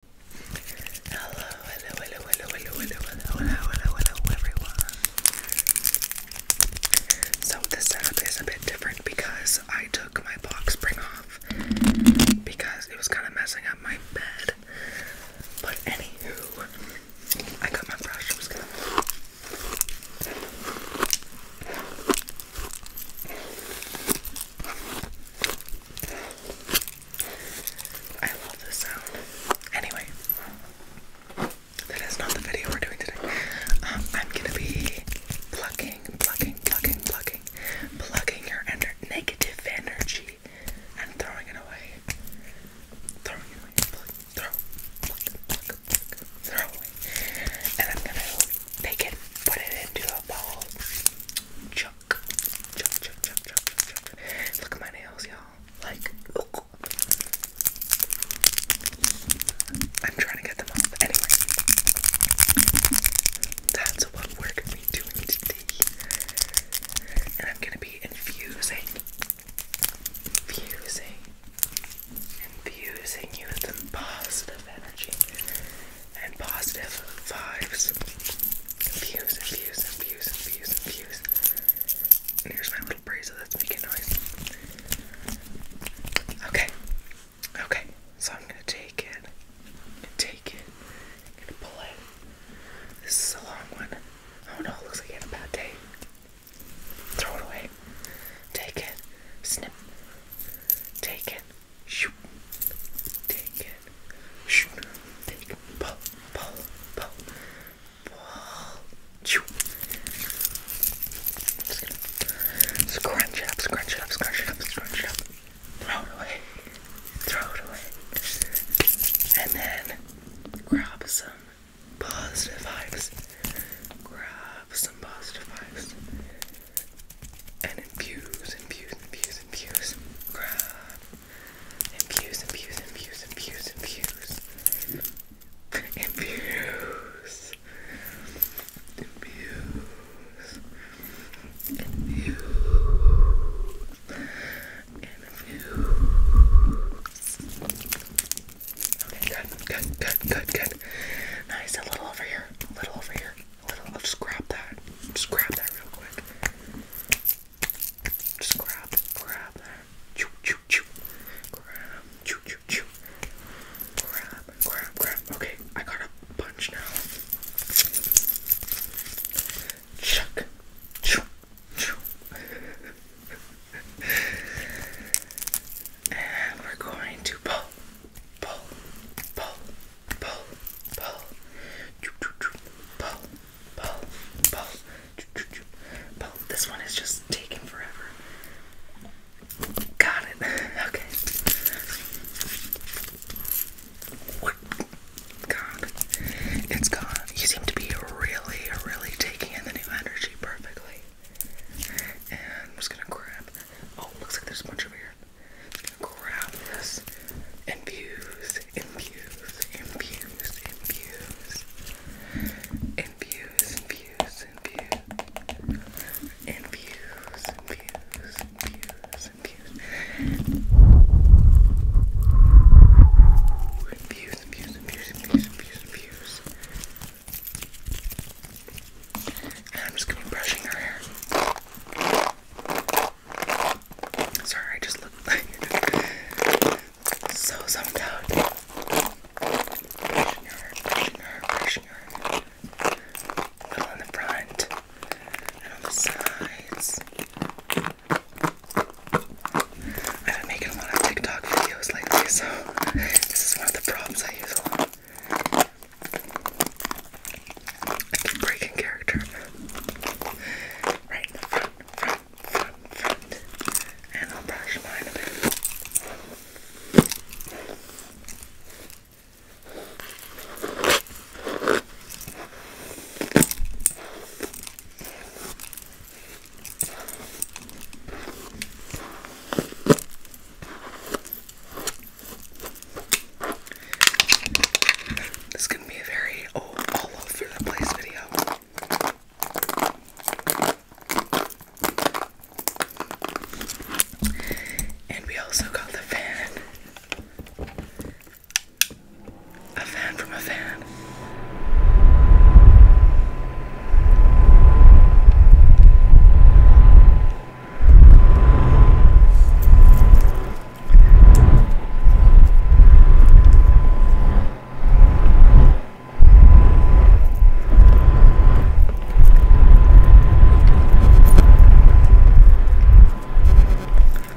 Hello, hello, hello, hello, hello, hello, hello, hello, hello, everyone. So the setup is a bit different because I took my box spring off because it was kind of messing up my bed. But anywho, I got my brush. I love this sound. Anyway, that is not the video we're doing today. Um, I'm gonna be plucking, plucking, plucking, plucking, plucking your ener negative energy and throwing it away. throw, away they can put it into a bowl. Chuck, chuck, chuck, chuck, chuck, chuck, chuck. Look at my nails, y'all. Like, oh. I'm trying to get them off. Anyway, that's what we're gonna be doing today, and I'm gonna be infusing, infusing, infusing you with some positive energy and positive vibes. Views and views and views and views and views. And here's my little brazier that's making noise. Okay. Okay. So I'm gonna take it. I'm gonna take it. I'm gonna pull it. This is a long one. Oh no, it looks like you had a bad day. Throw it away. Take it. Snip. Take it. Shoot. Take it. Shoot. Take it. Pull. Pull. Pull. Pull. Shoot. Just scrunch it up, scrunch it up, scrunch it up, scrunch it up. Throw it away. Throw it away. And then grab some positive vibes grab some positive vibes and infuse, infuse, infuse, infuse, grab, infuse, infuse, infuse, infuse, infuse, infuse, infuse, infuse. Infuse. Okay, good, good, good, good, good. Nice, a little over here, a little over here, a little. I'll grab that. Just grab that real quick. Just grab, grab that. Choo, choo, choo. Grab, choo, choo, choo. Grab, grab, grab. Okay, I got a bunch now. Chuck, choo, choo and we're going to pull, pull, pull, pull, pull, pull, pull, pull, pull. This one is just taking forever. Got it. Okay. What? God, it's gone. You seem to be really, really taking in the new energy actually perfectly. And I'm just gonna grab. Oh, looks like there's a bunch over here. I'm just gonna grab this. Infuse, infuse, infuse, infuse, infuse, infuse, infuse. Infuse, infuse, infuse, infuse. Infuse, and I'm just gonna be brushing her hair. Sorry, I just look like so zoned out. Brushing her, brushing her, brushing her. A little on the front and the sides. I've been making a lot of TikTok videos lately, so this is one of the prompts I use a lot. I keep breaking character. Right in the front, front, front, front. And I'll brush mine a bit. This is going to be a very oh, all over the place video. And we also got the fan. A fan from a fan.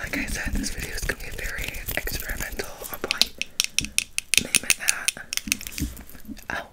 like I said, this video is gonna be very experimental. i Oh,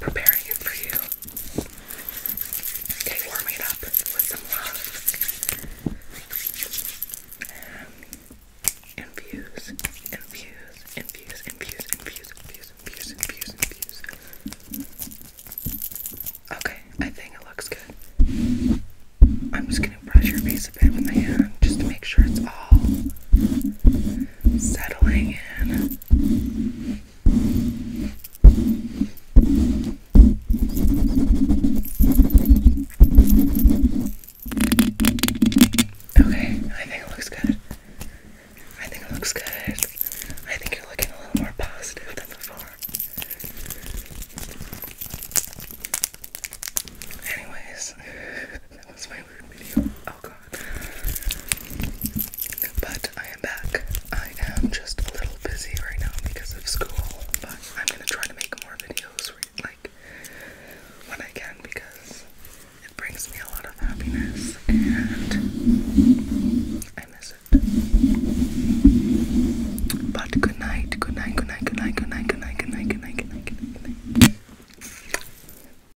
preparing it for you. Okay, warm it up with some love. infuse, infuse, infuse, infuse, infuse, infuse, infuse, infuse, infuse. Okay, I think it looks good. I'm just gonna brush your face a bit with my hand just to make sure it's all settling in. Okay, I think it looks good. I think it looks good. I think you're looking a little more positive than before. Anyways, that was my weird video. Oh god. But I am back. I am just a little busy right now because of school, but I'm gonna try to make more videos like when I can because it brings me a lot of happiness and I miss it. But good night, good night, good night, good night, good night, good night, good night, good night, good night, good night, good night. Good night.